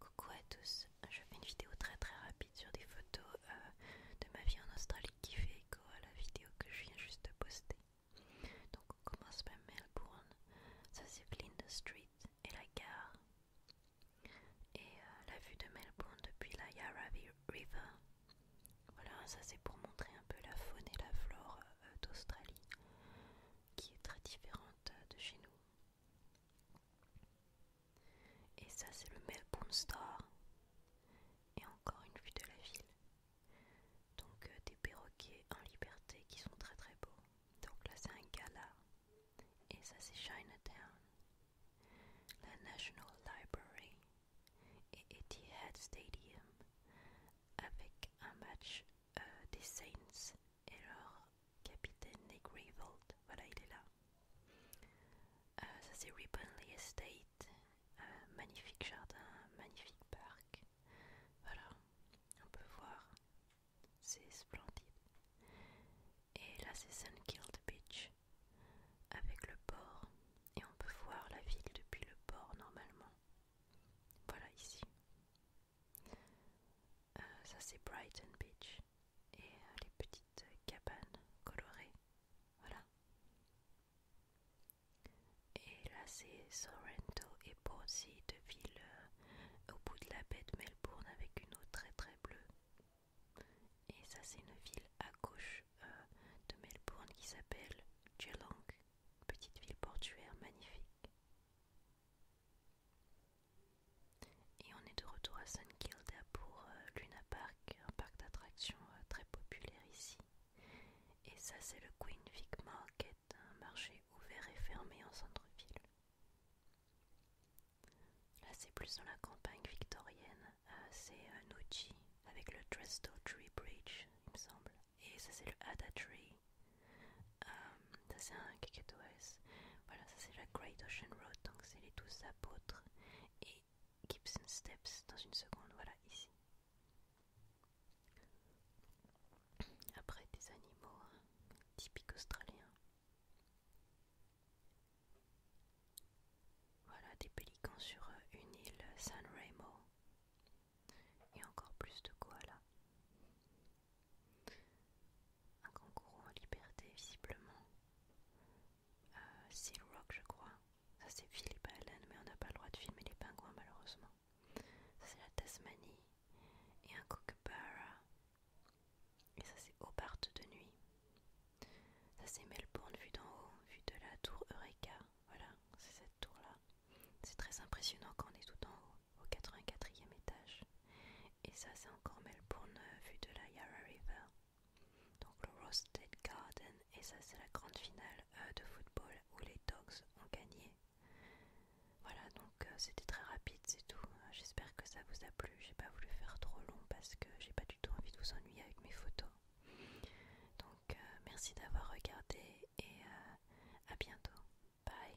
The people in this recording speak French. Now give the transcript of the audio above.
Coucou à tous, je fais une vidéo très très rapide sur des photos euh, de ma vie en Australie qui fait écho à la vidéo que je viens juste de poster. Donc on commence par Melbourne, ça c'est Flinders Street et la gare. Et euh, la vue de Melbourne depuis la Yarra River. Voilà, ça c'est pour montrer un peu la faune et la flore euh, d'Australie qui est très différente de chez nous. Et ça, c'est le Melbourne Star. Et encore une vue de la ville. Donc euh, des perroquets en liberté qui sont très très beaux. Donc là, c'est un gala. Et ça, c'est Chinatown. La National Library et Etihad Stadium avec un match euh, des Saints et leur capitaine Nick Vault, Voilà, il est là. Euh, ça c'est Riponley Estate. Euh, magnifique jardin, magnifique parc. Voilà, on peut voir. C'est splendide. Et là c'est Sun Killed Beach avec le port et on peut voir la ville depuis le port normalement. Voilà ici. Euh, ça c'est Brighton Beach et euh, les petites cabanes colorées. Voilà. Et là c'est Sorrento et pour deux villes euh, au bout de la baie de Melbourne avec une eau très très bleue. Et ça, c'est une ville à gauche euh, de Melbourne qui s'appelle Geelong, petite ville portuaire magnifique. Et on est de retour à St Kilda pour euh, Luna Park, un parc d'attractions euh, très populaire ici. Et ça, c'est le Queen Vic Market, un marché ouvert et fermé en centre-ville. Là, c'est plus dans la campagne victorienne. Euh, c'est un euh, avec le Dresdo Tree Bridge, il me semble. Et ça, c'est le Ada Tree. Euh, ça, c'est un Voilà, ça, c'est la Great Ocean Road. Donc, c'est les douze apôtres. Et Gibson Steps dans une seconde. Voilà, ici. Après, des animaux hein, typiques australiens. Voilà des pélicans sur euh, une île euh, San Remo et encore plus de koalas. Un kangourou en liberté visiblement. Euh, Seal Rock je crois. Ça c'est Philippe Allen mais on n'a pas le droit de filmer les pingouins malheureusement. Ça c'est la Tasmanie. Et un Kookaburra. Et ça c'est Hobart de nuit. Ça c'est Melbourne vue d'en haut, vue de la tour Eureka. Voilà, c'est cette tour là. C'est très impressionnant quand on est tout en haut, au 84e étage. Et ça c'est encore Melbourne euh, vue de la Yarra River. Donc le Roasted Garden et ça c'est la grande finale euh, de football où les Dogs ont gagné. Voilà donc euh, c'était très rapide c'est tout. J'espère que ça vous a plu. J'ai pas voulu faire trop long parce que j'ai pas du tout envie de vous ennuyer avec mes photos. Donc euh, merci d'avoir regardé et à bientôt. Bye.